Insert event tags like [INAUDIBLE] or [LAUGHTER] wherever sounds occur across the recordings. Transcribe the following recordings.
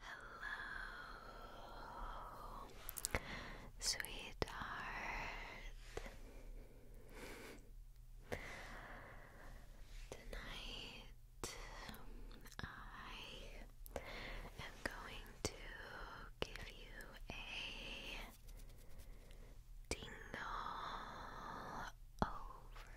Hello, sweetheart. Tonight I am going to give you a dingle overload.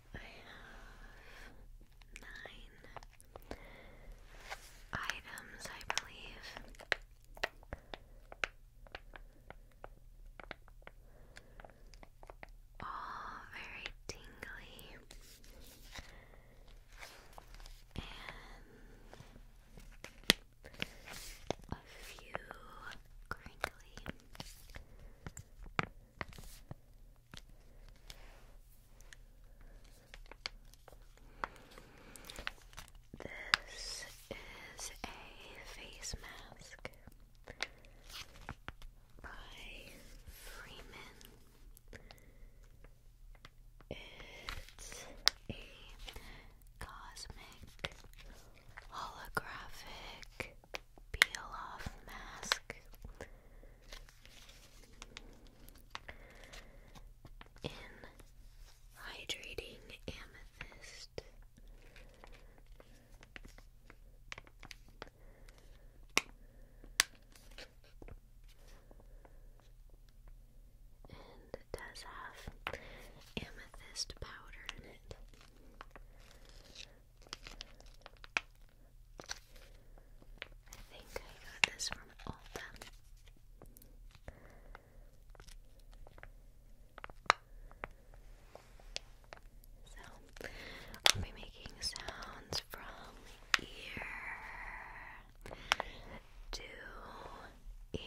I have nine items, I believe. All very tingly and a few crinkly. This is a face mask by Freeman. It's a cosmic holographic peel off mask in hydrating amethyst. And it does have amethyst powder in it. I think I got this from Ulta. So, I'll be making sounds from ear to ear.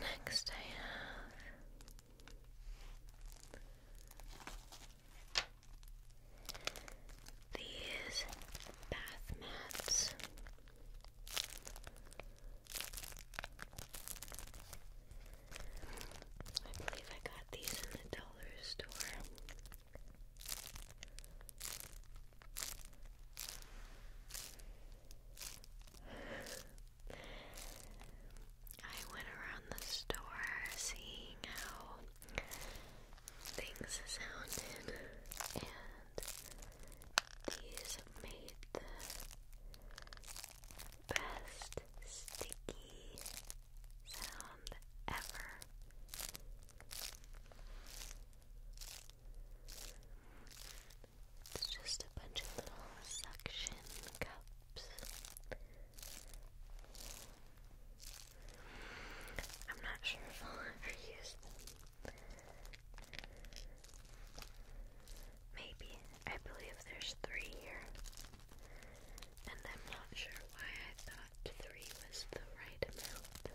Next, I have these bath mats. I believe I got these in the dollar store. I went around the store seeing how things sounded, and these made the best sticky sound ever. It's just a bunch of little suction cups. I'm not sure if I'll ever use Maybe. I believe there's three here. And I'm not sure why I thought three was the right amount.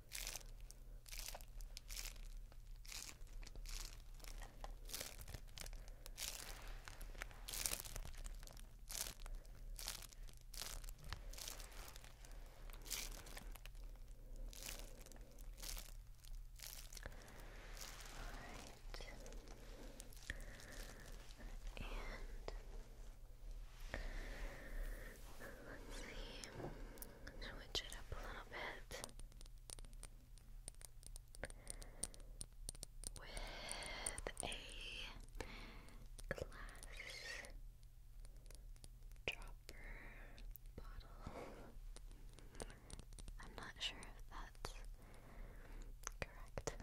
and let's see switch it up a little bit with a glass dropper bottle. I'm not sure if that's correct.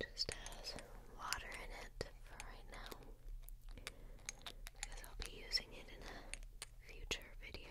It just has water in it for right now because I'll be using it in a future video.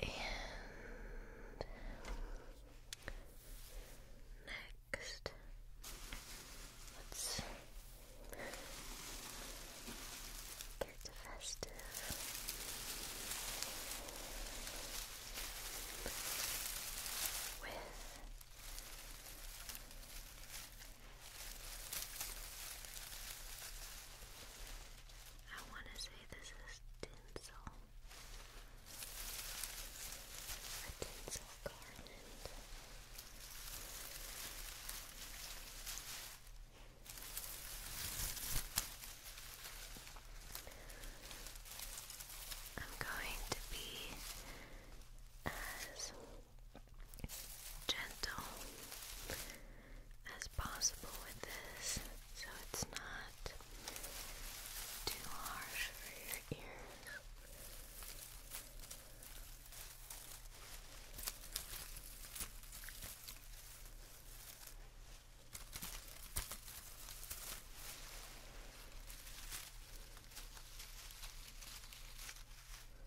And next, let's get festive. With I want to say this is tinsel. A tinsel garland. I'm going to be as gentle as possible with this so it's not too harsh for your ears.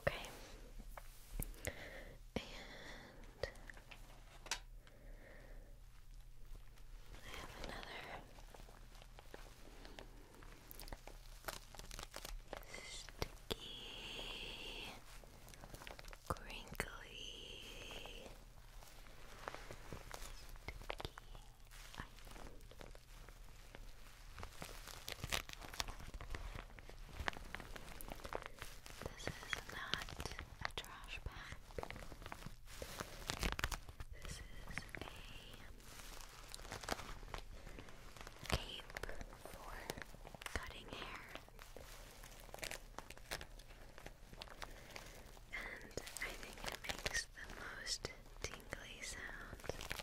Okay. And I have another sticky, crinkly, sticky. This is not a trash bag. This is a cape for cutting hair. And I think it makes the most tingly sound ever.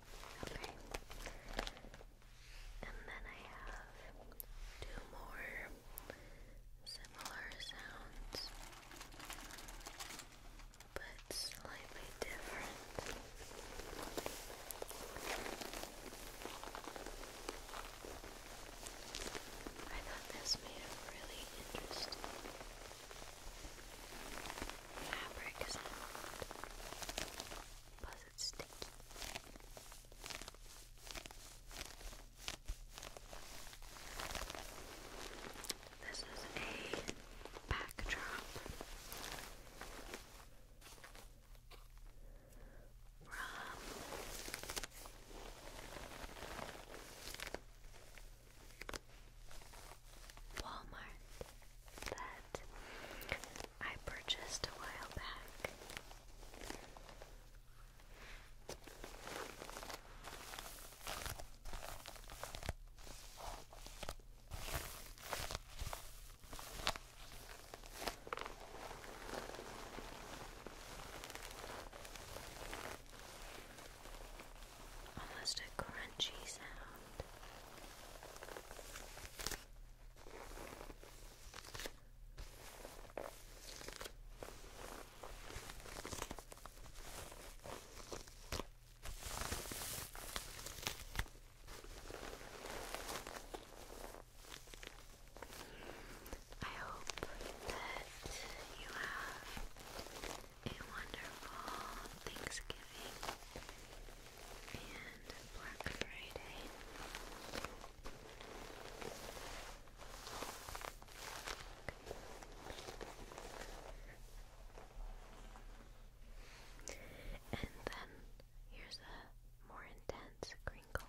Okay. And then I have two more similar sounds, but slightly different. I thought this made it really interesting fabric sound. Plus it's sticky. This is a backdrop from Walmart that I purchased a while back almost a crunchy sound. I hope that you have a wonderful Thanksgiving and Black Friday. And then here's a more intense crinkle.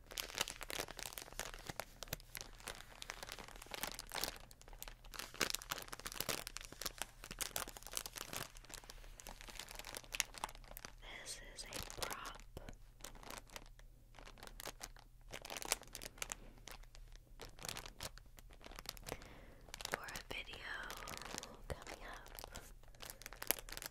This is a prop. For a video coming up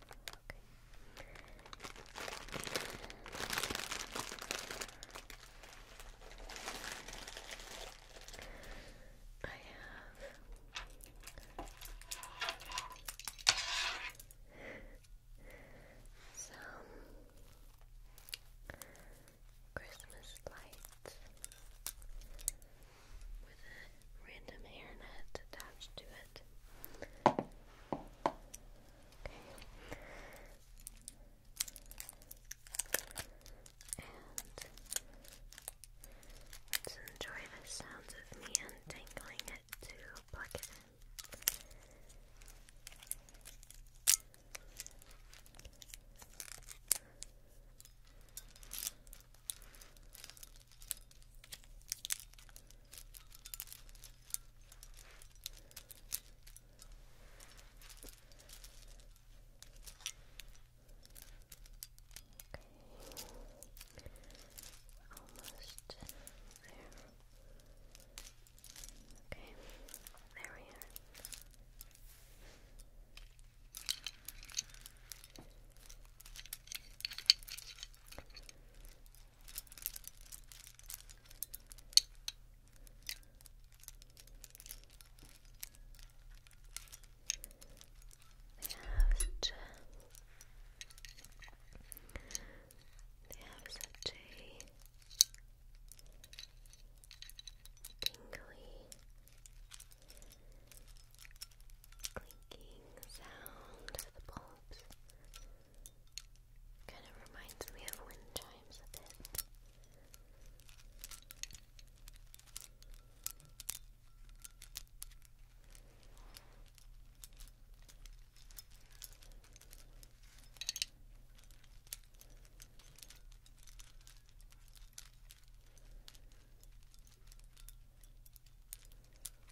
I have some Christmas lights with a random hairnet attached to it. Okay. And let's enjoy the sounds of me untangling it to plug it in. Almost there. Okay, there we are. Okay have such a they have such a tingly clinking sound of the bulbs. Kind of reminds me of wind chimes a bit. Just I'm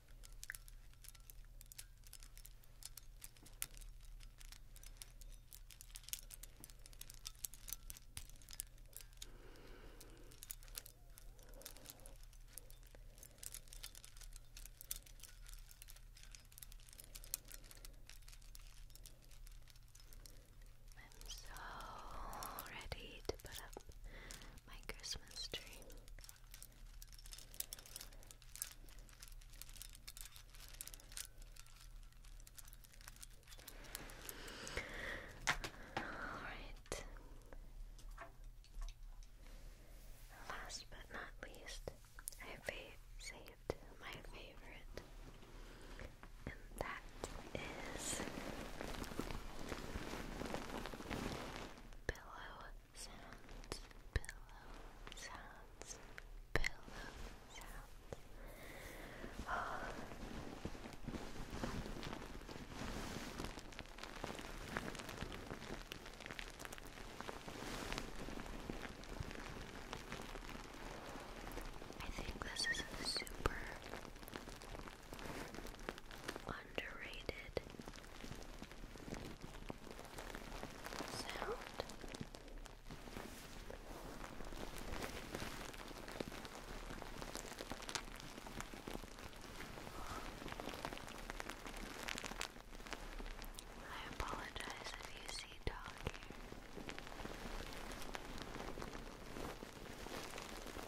so ready to put up my Christmas tree. Alright. Last but not least, I saved my favorite, and that is pillow sounds, pillow sounds, pillow sounds. [SIGHS] Oh. I think this is super underrated sound. I apologize if you see dog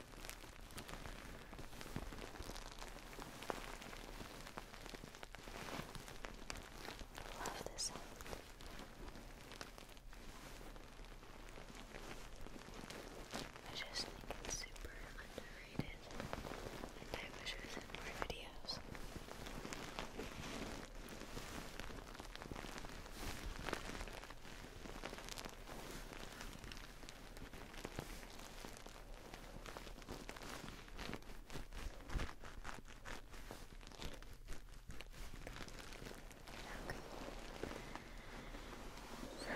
I Love this sound. I just think it's super underrated, and I wish I was more videos. So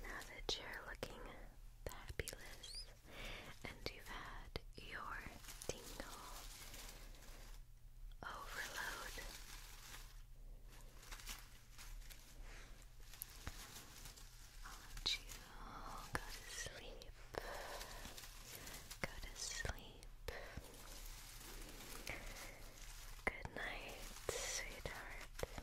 now that you're looking fabulous, and you've had your tingle overload. I'll you go to sleep. Go to sleep. Good night, sweetheart. Good night.